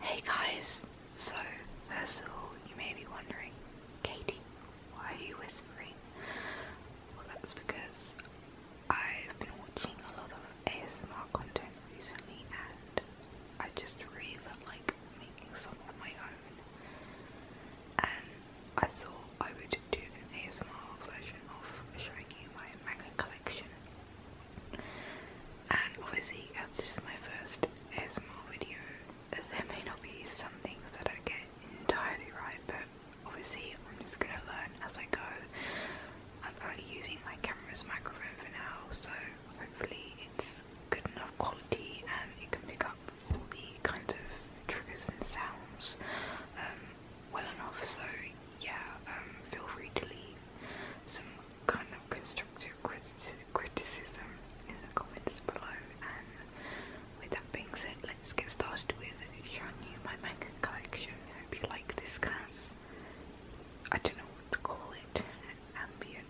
Hey guys, so first of all, you may be wondering, Katie, why are you whispering? Well, that's because I've been watching a lot of ASMR content recently and I just really like making some of my own. And I thought I would do an ASMR version of showing you my manga collection and obviously, as this is my first ASMR video, there may not be some things that I get entirely right, but obviously, I'm just gonna learn as I go. I'm only using my camera's microphone for now, so hopefully, it's good enough quality and it can pick up all the kinds of triggers and sounds um, well enough. So, yeah, um, feel free to leave some kind of constructive criticism in the comments below. And with that being said, let's get started with showing you my manga collection. I you like this kind of, I don't know what to call it, ambient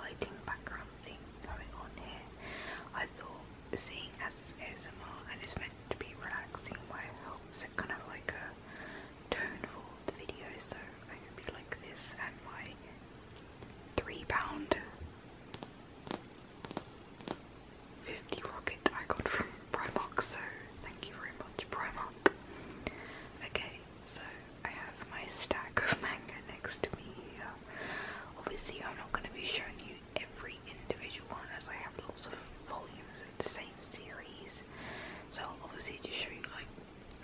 lighting background thing going on here. I thought seeing as it's ASMR and it's meant to be relaxing, why it kind of like a tone for the video, so I will be like this and my three pound 50 rocket I got from Primark, so thank you very much Primark. Okay, so I have my stack of manga next to me Obviously I'm not going to be showing you every individual one as I have lots of volumes of the same series. So I'll obviously just show you like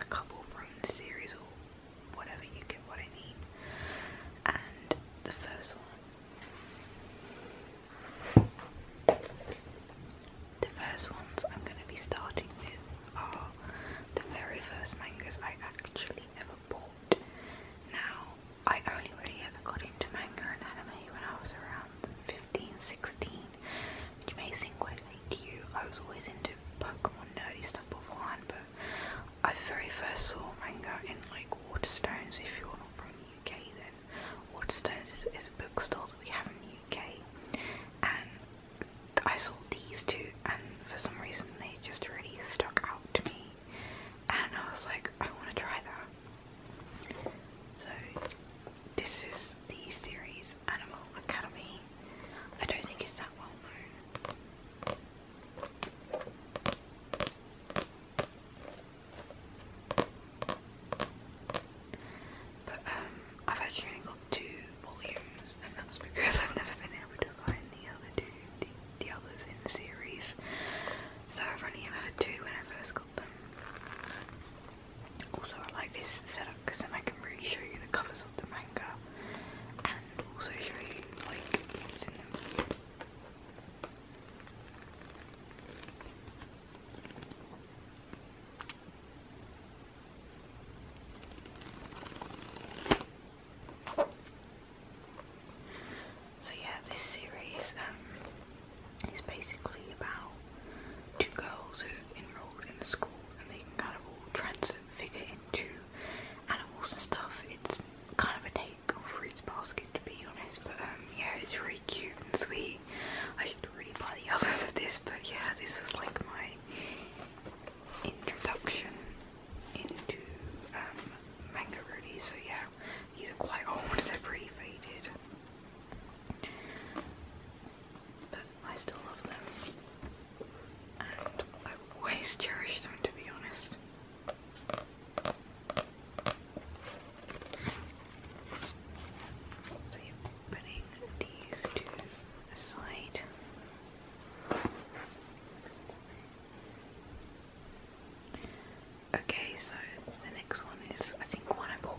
a couple from the series or whatever, you get what I mean. And the first one, the first ones I'm going to be starting with are the very first mangas I actually ever bought. Now, I only really ever got into manga and anime when I was around 15, 16, which may seem quite I was always into Pokemon nerdy stuff beforehand, but I very first saw manga in like Waterstones. If you're not from the UK, then Waterstones is, is a bookstore that we have in the UK, and I saw these two, and for some reason they just really stuck out to me, and I was like, I want to try that. So this is the series Animal Academy. I don't think it's that well known. But um, I've actually only got two volumes, and that's because I've never been able to find the other two, the, others in the series. So I've only ever had two when I first got them. Also, I like this setup because then I can really show you the covers of the manga and also show you like what's them. So yeah, this series um, is basically about two girls who enrolled in the school and they can kind of all transfigure into animals and stuff. It's kind of a take on Fruits Basket to be honest, but um, yeah, it's really cute and sweet. I should really buy the others of this, but yeah, this was like my introduction into um, manga really, so yeah, he's are quite old, they're pretty faded. But I still love them. And I always cherish them, to be honest. So you're putting these two aside. Okay, so the next one is I think one I bought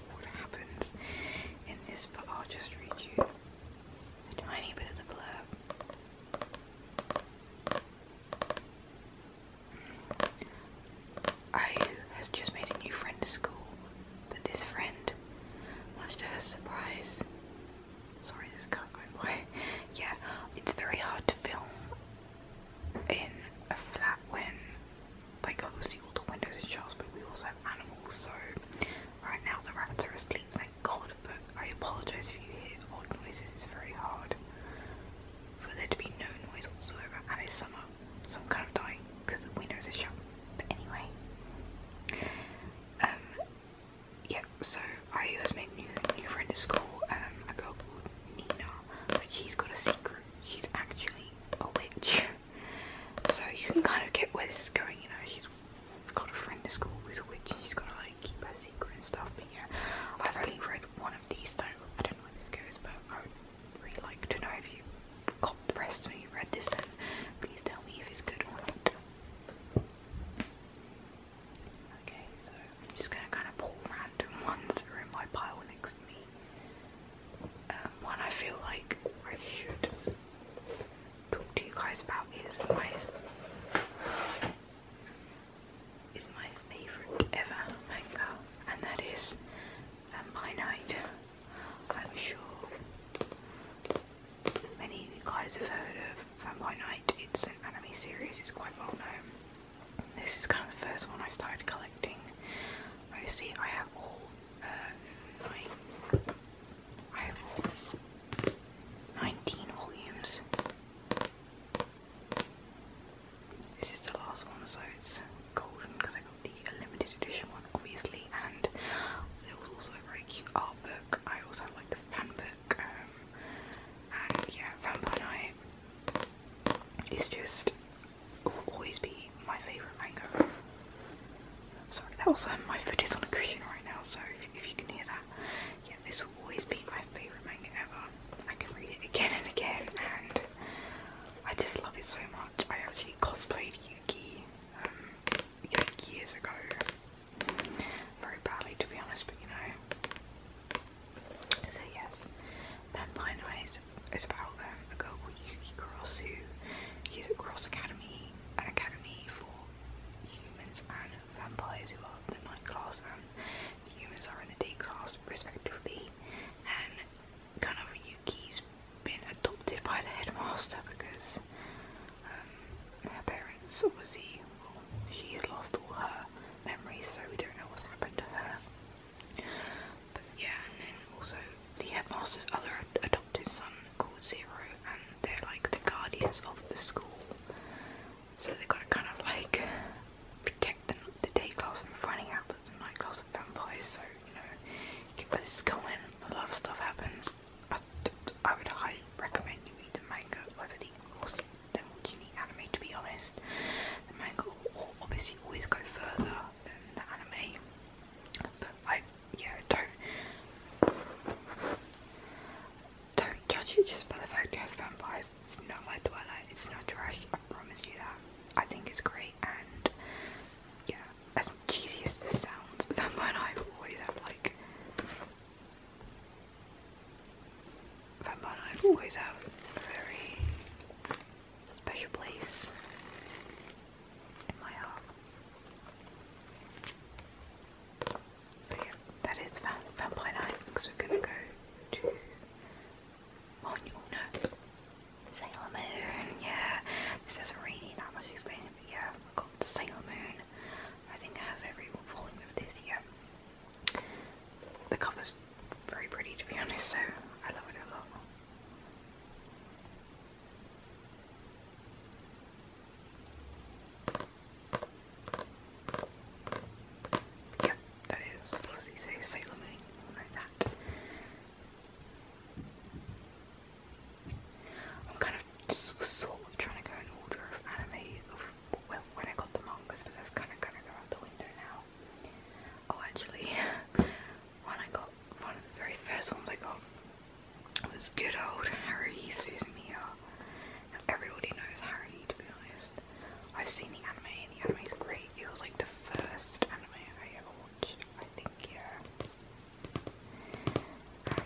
what happens in this, but I'll just read you a tiny bit of the blurb. Mm. Ayu has just made a new friend to school, but this friend, much to her surprise, sorry this can't go in yeah, it's very hard to film in a flat when like obviously all the windows are shells, but we also have animals, so right now the rabbits are asleep, thank god, but I apologise if you hear odd noises, it's very hard for there to be no noise whatsoever, and it's summer, so I'm kind of dying because the windows are shut, but anyway, um, yeah, so I was made new new friend at school, um, a girl called Nina, but she's got a secret. She's actually a witch. So you can kind of get where this is going, you know, she's got a friend at school who's a witch and she's gotta like keep her secret and stuff, but yeah, I've only read one of these, so I don't know where this goes, but I would really like to know if you got the rest and you read this and please tell me if it's good or Okay, so I'm just gonna kind of pull random ones that are in my pile next to me um, one I feel like I should talk to you guys about is my is my favourite ever manga, and that is Vampire um, Night. I'm sure many guys have heard of Vampire um, Night. It's an anime series. It's quite well known. This is kind of the first one I started collecting. Mostly, I have all uh, 19 volumes. This is the last one, so it's golden because I got the limited edition one, obviously, and there was also a very cute art book. I also had like the fan book, um, and yeah, Vampire Night is just it will always be my favourite manga. Sorry, that was um, my foot is on a cushion right now, so if, you can hear that, yeah, this will always be my favourite manga ever. I can read it again and again, and I just love it so much. I actually cosplayed Yuki um, years ago, very badly to be honest, but you know. So yes, Vampire Noise it's about um, a girl called Yuki Cross who she's at Cross Academy, an academy for humans and vampires who are the night class and humans are in the day class respectively and kind of Yuki's been adopted by the headmaster because um, her parents obviously, well, she has lost all her memories so we don't know what's happened to her but yeah, and also the headmaster's other adopted son called Zero, and they're like the guardians of the school. So they've got to kind of like protect the, the day class from finding out that the night class are vampires. So you know, keep this going. A lot of stuff happens. I, I would highly recommend you read the manga over the course than watching the anime. To be honest, the manga will obviously always go further than the anime. But I, yeah, don't don't judge it just by the fact it has vampires. It's not my Twilight. It's not trash. I promise you that. I think it's great. And yeah, as cheesy as this sounds, Vampire Night always have like Vampire Night always have very special place in my heart. So yeah, that is Vampire Night, we're gonna go to oh no, Sailor Moon, yeah. This doesn't really need much explaining, but yeah, I got Sailor Moon. I think I have every volume of this, yeah. The cover's very pretty to be honest, so I love it a lot. Yep, that is, plus he says Sailor I'm kind of sort of trying to go in order of anime of well, when I got the mangas, but that's kind of kind of going out the window now. Oh, actually, one I got, one of the very first ones I got was good old Harry Suzumiya. everybody knows Harry to be honest. I've seen the anime the anime is great. It was like the first anime I ever watched, I think, yeah.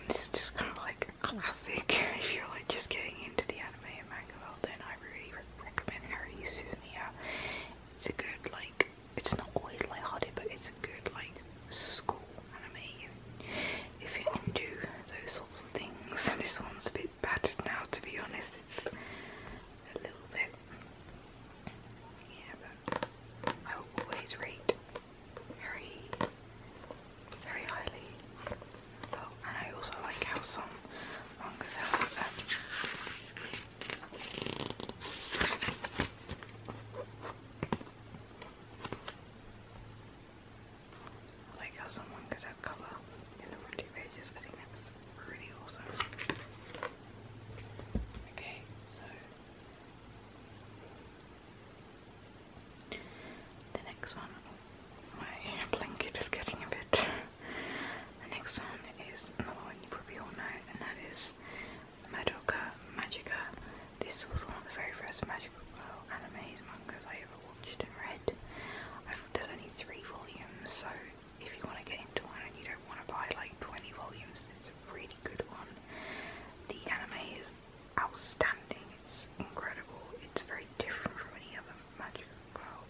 this is just kind of like classic. if you're like just getting into the anime and manga world, then I really recommend Harry Suzumiya. It's a good like it's not always lighthearted, but it's a good like school anime. If you're into those sorts of things, this one's a bit battered now. To be honest, it's a little bit. Yeah, but I always rate very, very highly. Oh, and I also like how some mangas have um, I like how someone could have color in the front pages. I think that's really awesome. Okay, so the next one, my blanket is getting a bit. the next one is another one you probably all know, and that is Madoka Magica. This was one of the very first magical girl animes mangas I ever watched and read. I've, there's only three volumes, so if you want to get into one and you don't want to buy like 20 volumes, this is a really good one. The anime is outstanding, it's incredible, it's very different from any other magical girl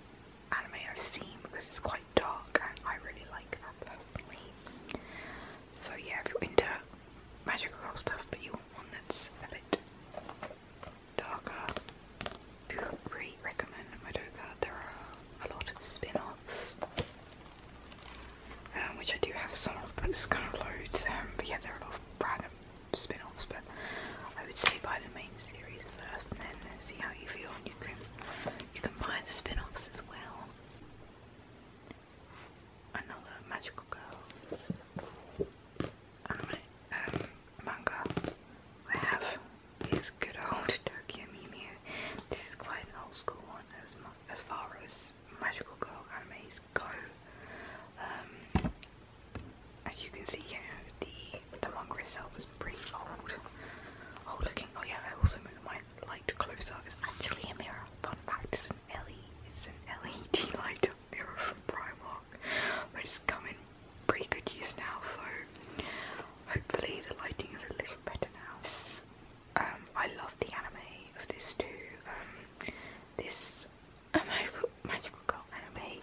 anime I've seen because it's quite so yeah, if you're into magic stuff but you want one a bit darker, I really recommend Madoka. There are a lot of spin-offs, um, which I do have some but it's kind of loads. Um, but yeah, there are a lot of random spin-offs, but I would say buy the main series first and then see how you feel and you can you can buy the spin-offs as well another magical girl um, manga. I have this good old Tokyo Mew This is quite an old school one as far as magical girl animes go. Um, as you can see, you the manga itself is pretty old, old looking. Oh yeah, I also moved my light close-up is actually a mirror. Fun fact, it's an LED, it's an mirror from Primark, but it's come pretty good use now, so hopefully the lighting is a little better now. Um, I love the anime of this too. Um, this magical, girl anime,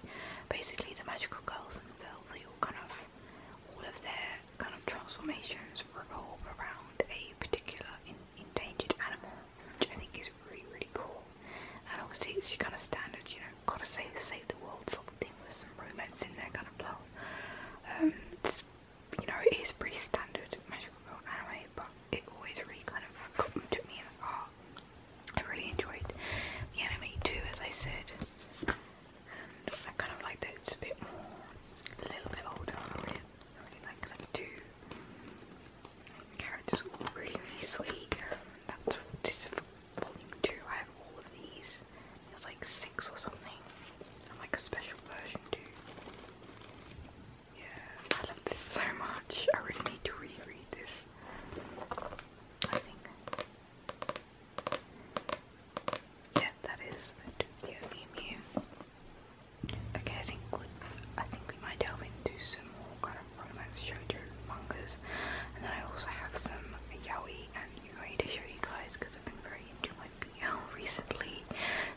basically the magical girls themselves, they all kind of, all of kind of transformations revolve around a particular endangered animal, which I think is really, really cool. And obviously, it's your kind of standard, you know, gotta save, save the world sort with some romance in there kind of plot. Um, you know, it is pretty standard magical girl anime, but it always really kind of took me in the I really enjoyed the anime too, as I said. I kind of like that it's a bit more, a little bit older. I really, like that too. Carrots all really, sweet. that's volume two. I have all of these. There's like six or something. like a special version too. Yeah, I love this so much. I really need to reread this. I think. Yeah, that is a Dupleomemia. Okay, I think we, I think we might delve into some more kind of romance shoujo mangas, and then I also have some yaoi and yuri to show you guys because I've been very into my BL recently.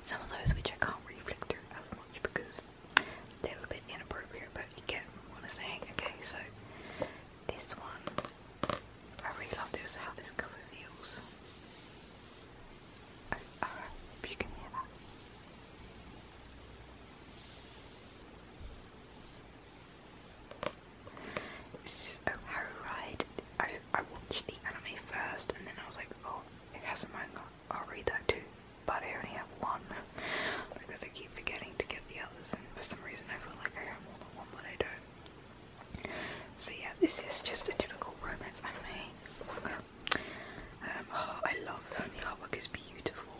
Some of those which I can't really flick through as much because they're a bit inappropriate, but you get what I'm saying. Okay, so this one I really love this, how this cover feels. I, I you can hear that. This is Oh Harry Ride. I, I watched the anime first and then I was like, oh, it has a manga. I'll read that too. But I only have one because I keep forgetting to get the others and for some reason I feel like I have more than one but I don't. So yeah, this is just a typical romance anime. Um, I love the artwork is beautiful.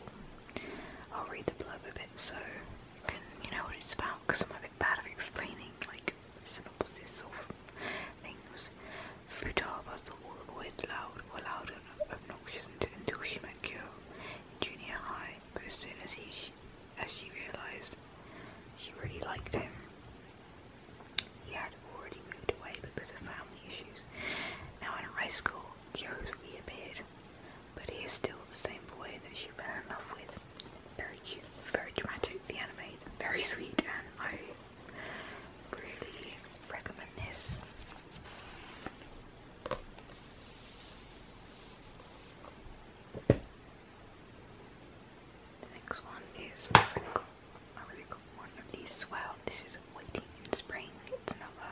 I'll read the blurb a bit so you can you know what it's about because I'm a bit bad at explaining like synopsis or things. Futaba was always loud or loud and obnoxious until she met Kyo in junior high, but as he as she realised she really liked him, he had already moved away because of family issues. Now in high school, Kyo's reappeared, but he is still the same boy that she fell in love with. Very cute, very dramatic, the anime is very sweet, and I really recommend this next one is a really a really one of these as This is Waiting in Spring. It's another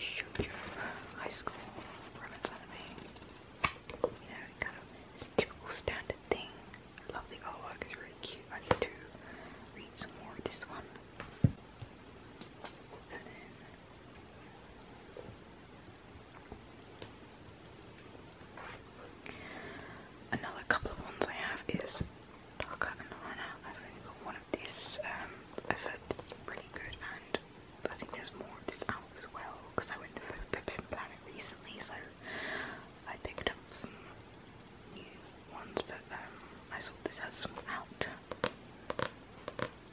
shoujo high school romance anime. You know, kind of typical standard thing. I artwork, it's really cute. I need to read some more of this one. Another couple of ones I have is Darker and I've only got one of these. Um, I've heard it's really good, and I think there's more of this out as well because I went to Pippin Planet recently, so I picked up some new ones. But um, I saw this has some out.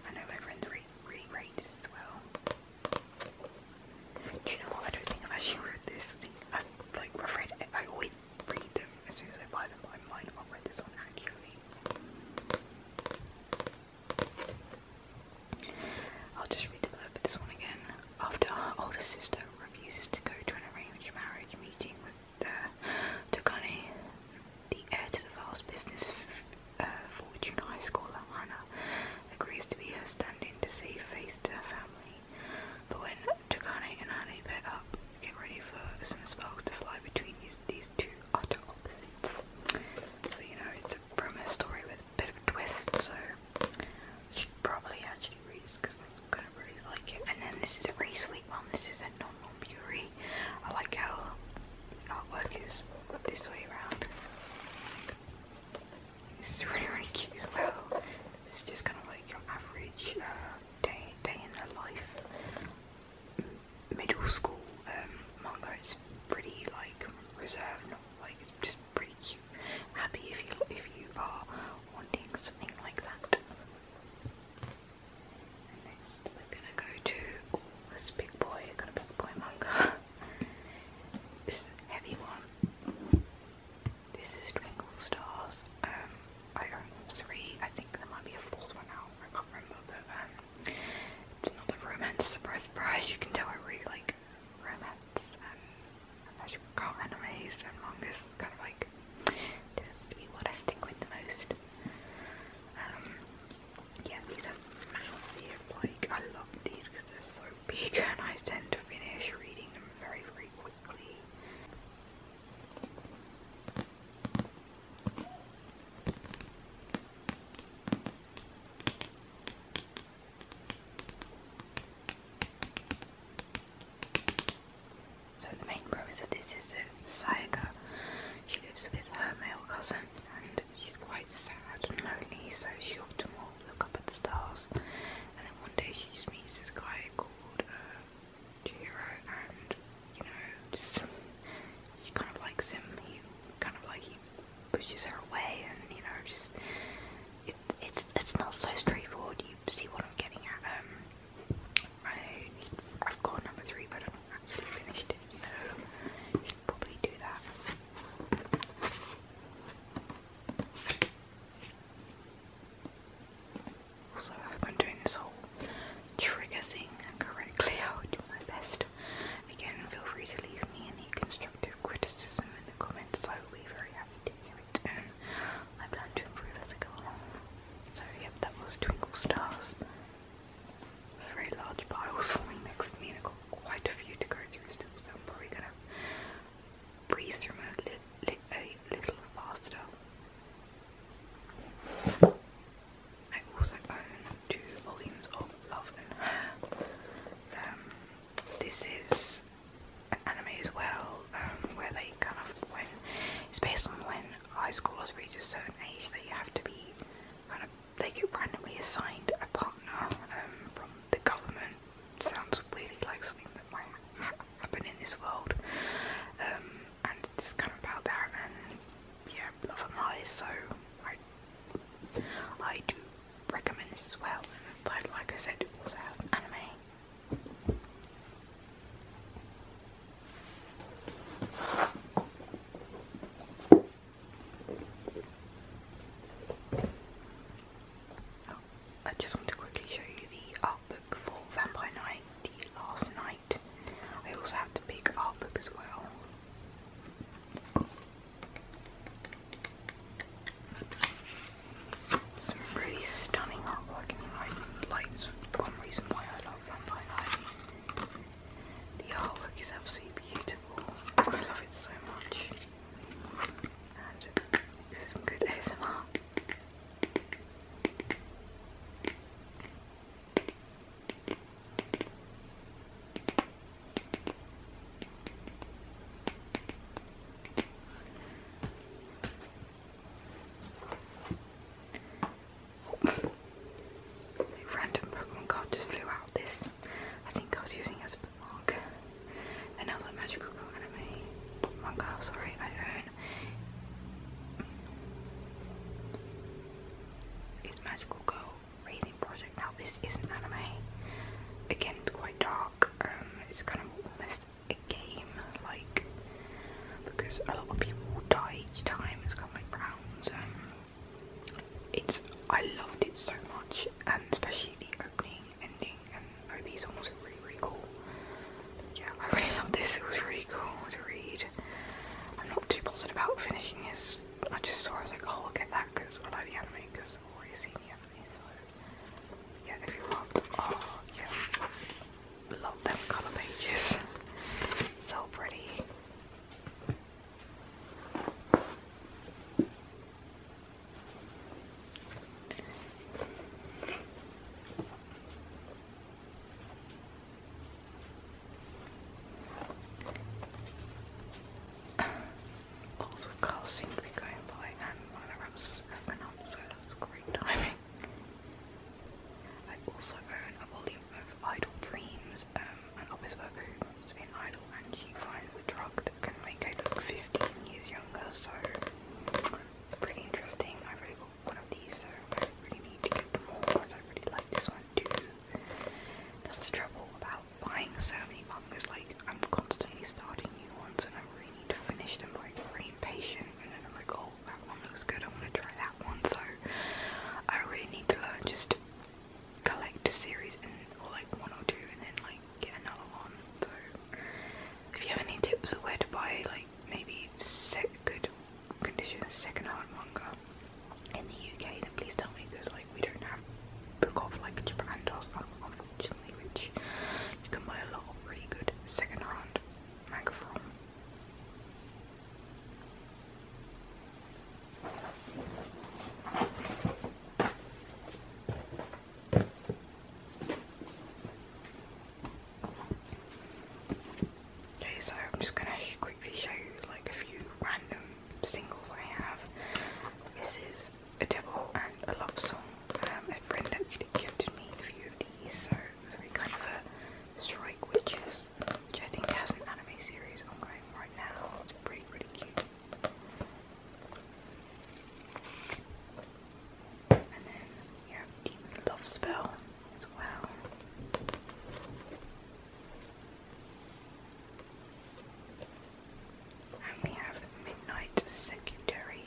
I know my friends re really rate this as well. Do you know everything about she read this i like afraid I always read them as soon as I buy them, but I might not read this one actually. I'll just read a little bit this one again. After her older sister refuses to go to an arranged marriage meeting with the Tokane, the heir to the vast business uh, fortune high schooler Hannah agrees to be her stand-in to save face family. But when Takane and Hane pair up, get ready for some sparks to fly between these, these two utter So, you know, it's a premise story with a bit of a twist, so you should probably actually read this because I'm going to really like it. And then this is a very sweet one. This is a normal non beauty. I like how artwork is this way around. This is really, really cute as well. This just kind of like your average uh, day, day in the life middle school um, manga. It's pretty like reserved, not like just pretty cute. Happy if you if you are wanting something like that. next, we're gonna go to oh, this big boy, I got a big boy manga. This heavy one. This is Twinkle Stars. Um, I three. I think there might be a fourth one now. I can't remember, but um, it's another romance. Surprise, surprise! You can tell I really like romance and um, as you recall, animes and mangas. Kind of like tends to be what stick with the most. Um, yeah, these are massive. Like I love these so the main premise of this is that Sayaka, she lives with her male cousin and she's quite sad and lonely so she often will look up at the stars. And then one day she just meets this guy called uh, and you know, she kind of likes him. He kind of like he pushes her away, and you know, just it's it's not so straightforward. You see what I'm getting at. Um, I I've got number three, but I haven't actually finished it, so should probably do that. So I have been doing this whole trigger thing correctly. I will do my best. Again, feel free to leave me any constructive criticism in the comments. I will be very happy to hear it, and I plan to improve as I go along. So yep, that was Twinkle Stars. Very large piles forming next to me, I've got quite a few to go through still, so probably gonna breathes through my lip li a little faster. I also own two volumes of Love um, this is anime as well, um, where they kind of when it's based on when high schoolers reach a certain age, they have to be kind of they get randomly assigned a partner um, from the government sounds really like something that might happen in this world. Um, and it's kind of about that, and yeah, love and lies. So I, do recommend this as well. But like I said, it also has anime. I just want to quickly show you the art book for Vampire Night, the last night. I also have the big art book as well. Some really stunning artwork, and you might one reason why I love Vampire Night. The artwork is absolutely beautiful. I love it so much. Random Pokemon card just flew out. This I think I was using as a another magical anime manga. Sorry, I own is Magical Girl Raising Project. Now this isn't anime. Again, it's quite dark. Um, it's kind of almost a game, like because a lot of people die each time. It's kind rounds. Um, it's I loved it so much, and especially the opening ending, and or these songs really, really cool. Yeah, I really love this. It was really cool to read. I'm not too positive about finishing this. I just saw. I was like, oh, I'll get that because I like the anime because I've already seen the anime. So yeah, if you loved, oh yeah, love them color pages. so pretty. Also, cars seem to be going by, and my alarm's open up, so that's great timing. I also own a volume of Idle Dreams, um, an office worker who wants to be an idol, and she finds a drug can make I look 15 years younger, so it's pretty interesting. I really got one of these, so I really need to get more because I really like this one too. That's the trouble about buying so many mangas, like I'm constantly starting new ones and I really need to finish them, like very impatient and then I'm like, oh that one looks good, I want to try that one, so I really need to learn just collect a series or like one or two and then like if you have any tips of where to buy like maybe good condition second hand manga in the UK, then please tell me because like we don't have book off like Japan does unfortunately, which you can buy a lot of really good second hand manga from. Okay, so I'm just gonna quickly show you like a few random singles I have. This is a Devil and a Love Song. Um, a friend actually gifted me a few of these, so three kind of a Strike Witches, which I think has an anime series on going right now. It's pretty, pretty cute. And then you have Spell as And we have Midnight Secondary.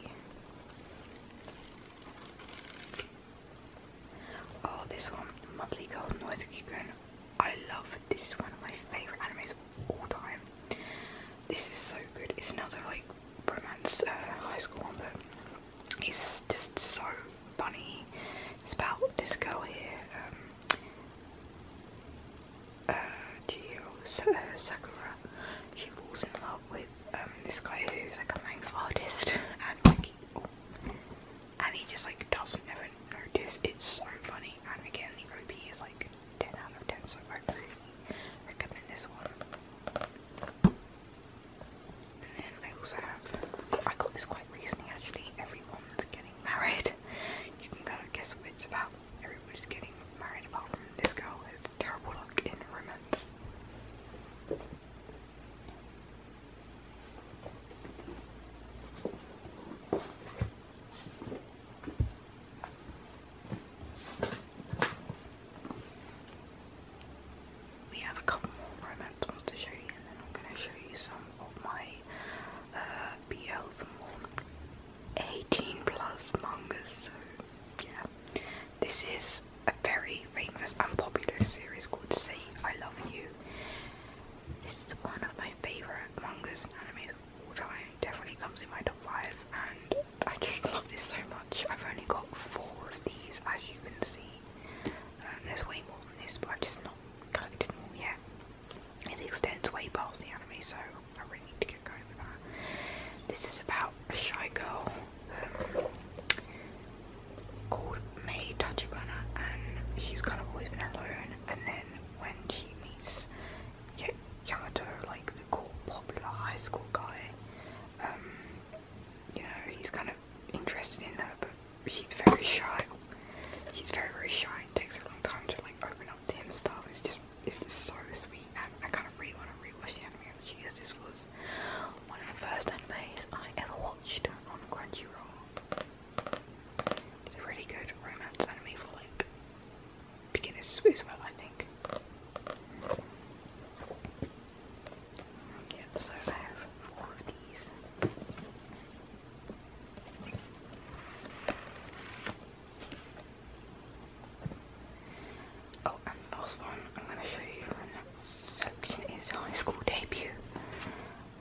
Oh, this one, Monthly Golden Noise Keep Going. I love this one of my favourite animes all time. This is so good. It's another like romance uh, high school one, but it's just so funny. It's about this girl here, um, uh, uh, Sakura. She falls in love with um, this guy who's like a manga artist, oh, and he just like doesn't ever notice. It's so funny, and again the RP is like 10 out of 10 so far. I recommend this one. And then I also have, I got this quite recently actually, everyone's getting married. You can guess what it's about. Everybody's getting married this girl who terrible luck in romance. We have a couple more romance ones to show you, and then I'm going to show you some of my uh, BLs and more 18 plus mangas. So, yeah. This is a very famous and popular series called Say I Love You. This is one of my favourite mangas Definitely comes in my top five, and I just love this so much. I've only got four of these, as you can see. Um, there's way more than this, but i just not collected more yet. It extends way past the anime, so I really need to get going with that. This is about a shy girl um, called Mei Tachibana, and she's kind of always been alone. And then when she meets yeah, Yamato, like the cool, popular high school guy, um, you know, he's kind of interested in her, but she's very shy. She's very, very shy. takes a long time to like open up to him stuff. It's just, it's just so sweet. And I kind of really want to rewatch the anime because this was one of the first animes I ever watched on Crunchyroll. It's a really good romance anime for like beginners as well, I think. Oh, last one I'm going to show you section is high school debut.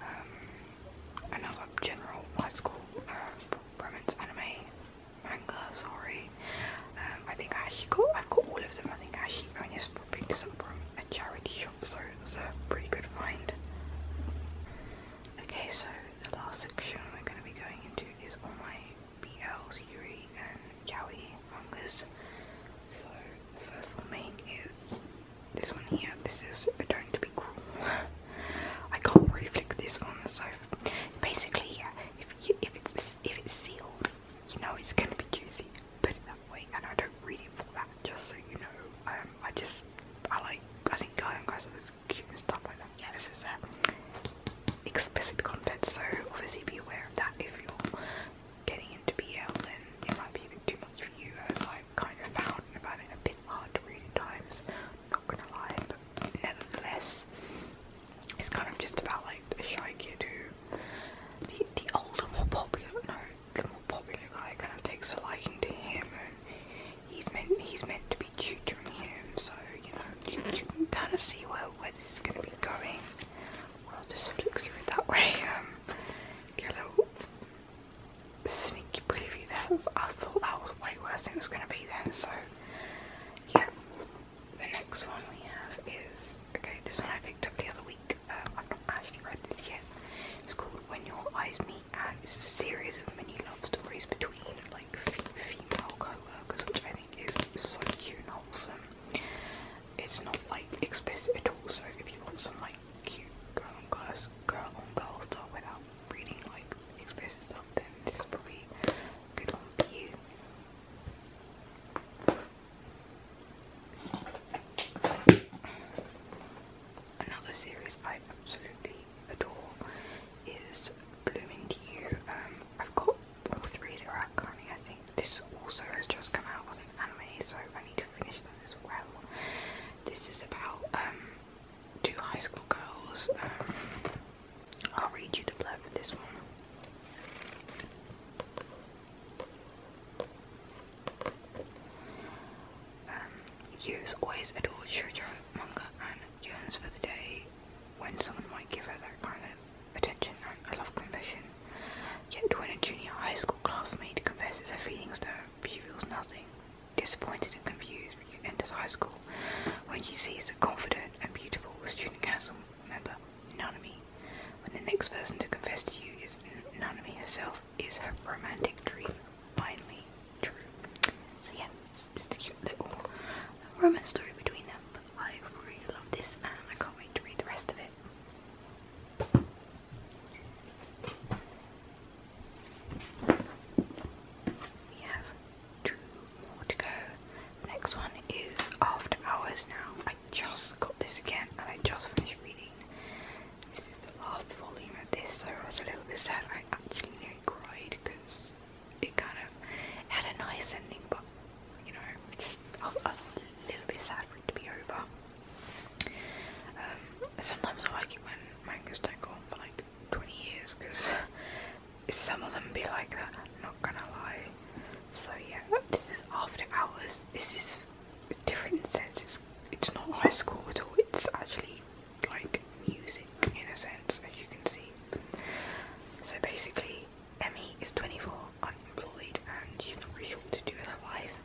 Um, another general high school uh, anime manga, sorry. Um, I think I actually got, I've got all of them. I think I actually only picked this up from a charity shop, so it's a pretty good find. Okay, so the last section we're going to be going into is all my BLs, Yuri and Yaoi mangas. So the first one main is this one here. This is Don't Be Cruel. I can't really flick this on, so Basically, yeah, if you, if it's if it's sealed, you know it's gonna be juicy. Put it that way, and I don't read it for that. Just so you know, um, I just I like I think guy and guys are cute and stuff like that. Yeah, this is uh, explicit content, so obviously be aware of that if you're getting into BL. Then it might be a bit too much for you, as I've kind of found and found it a bit hard to read at times nevertheless, it's kind of just about like a shy kid who the older, more popular, no, the more popular guy kind of takes a liking to him, and he's meant he's meant to be tutoring him. So you know, you, can kind of see where where this is going we will just flick through it that way. Um, get a little sneaky preview there. I thought that was way worse than it was gonna be then. So yeah. The next one we have is okay. This one I picked up the other week. Uh, I've not actually read this yet. It's called When Your Eyes Meet, it's a series of many love stories between like female co-workers, which I think is so cute and wholesome. It's not like explicit at all. So if you want some like cute girl on girl, girl on girl stuff without reading like explicit stuff. This is Another series I absolutely adore is Blooming to You. Um, I've got three that are out I think. This also has just come out as an anime, so I need to finish that as well. This is about um, two high school girls. Um, I'll read you the plot for this one. Um, always adored Shujo manga and yearns for the day when someone might give her that kind of attention and a love confession. Yet when a junior high school classmate confesses her feelings to her, she feels nothing. Disappointed and confused, you high school when she sees a confident and beautiful student council member, Nanami. When the next person to confess to you is Nanami herself, is her romantic dream finally true? So yeah, it's just a cute little romance story between them, I really love this and I can't wait to read the rest of it. We have two more to go. Next one is After Hours now. I just got this again and I just finished reading. This is the last volume of this, so I was a little bit sad. I actually cried because it kind of had a nice ending, but you know, just, a little bit sad for it to be over. Um, sometimes I like it when mangas don't go on for like 20 years because some of them be like that, I'm not gonna lie. So yeah, this is after hours. This is a different sense. It's, it's not high school at all. It's actually like music in a sense, as you can see. So basically, Emmy is 24, unemployed, and she's not really sure what to do with her life.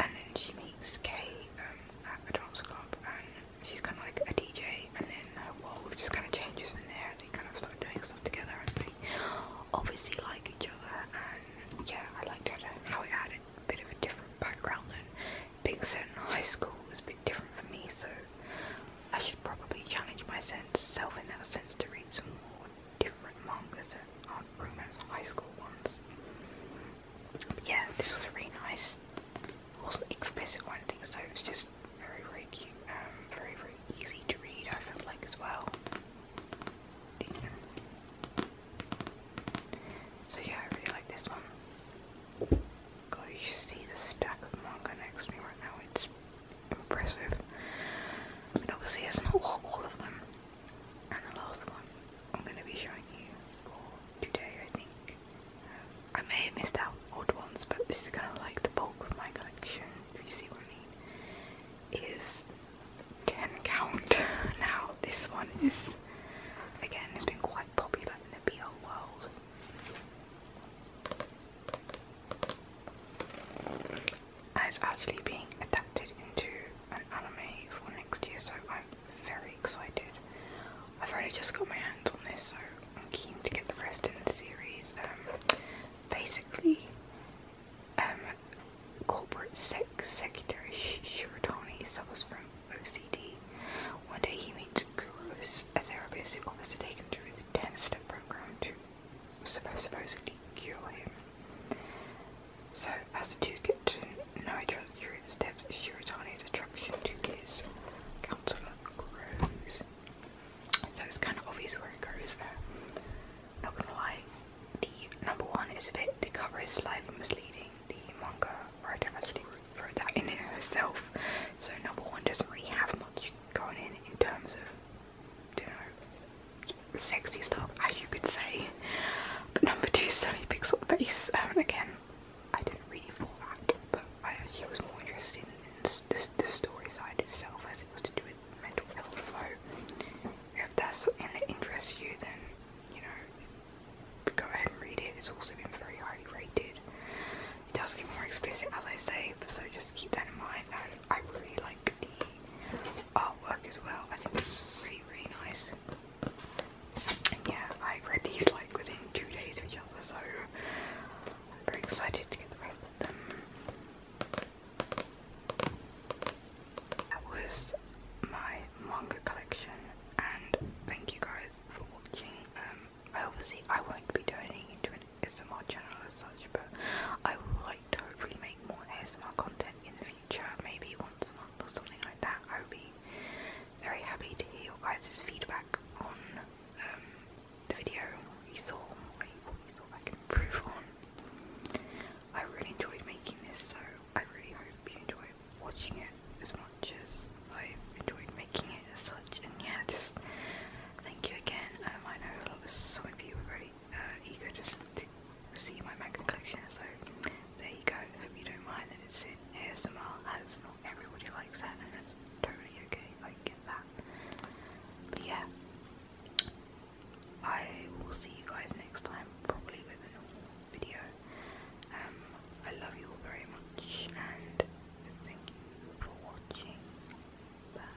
And then she meets Kay um, at the dance club, and she's kind of like a DJ, and then we've just kind of changes in there, and they kind of start doing stuff together, and they obviously like each other. And yeah, I liked how, how it had a bit of a different background than being set in high school was a bit different for me, so I should probably challenge myself in that sense to read some more different mangas that aren't romance high school ones. yeah, this was really nice wasn't explicit or anything, so it was just very, very cute and um, very, very easy to read, I felt like, as well. So yeah, I really like this one. God, you see the stack of manga next to me right now, it's impressive. I obviously it's not all of them. And the last one I'm going to be showing you today, I think, I may have missed out odd ones, but this is kind of like the bulk of my collection, if you see what I mean, is 10 count. now, this one is, again, has been quite popular in the BL world. it's actually being adapted into an anime for next year, so I'm very excited. I've already just got my hands on this, so I'm keen to get the rest of the series. Um, basically, um, corporate sec secretary Sh suffers from OCD. One day he meets Gurus, a therapist who wants to take him through the 10-step program to supposedly cure him. So, as the two get to know each other through the steps, Shiratani's attraction to his counselor grows. So it's kind of obvious where it goes there. Not gonna lie, the number one is a bit, the cover is slightly misleading. The manga writer wrote that in herself. So number one doesn't really have much going in in terms of, you know, sexy stuff, as you could say. But number two certainly picks up the pace. Um, again, I didn't really fall out, but I actually was more interested in the story side itself as it was to do with mental health. So if that's something that interests you, then you know, go ahead and read it. It's also been very highly rated. It does get more explicit, as I say, so just keep that in mind. I really like the artwork as well. I think it's really, really nice. yeah, I read these like within two days of each other, so I'm very excited to get the rest of them. That was my manga collection, and thank you guys for watching. Um, obviously, I won't be turning into an ASMR channel as such, but I would like to hopefully make more ASMR content in the future, maybe once a month or something like that. I would be very happy to hear your guys' feedback on um, the video you saw, I, you saw I can improve on. I really enjoyed making this, so I really hope you enjoy watching it as much as I enjoyed making it as such. And yeah, just thank you again. Um, I know a lot of some of you were very uh, eager to, see my manga collection, so there you go. Hope you don't mind that it's in ASMR as everybody likes that it's totally okay, I get that. But yeah, I will see you guys next time, probably with a normal video. Um, I love you all very much and thank you for watching. Bye.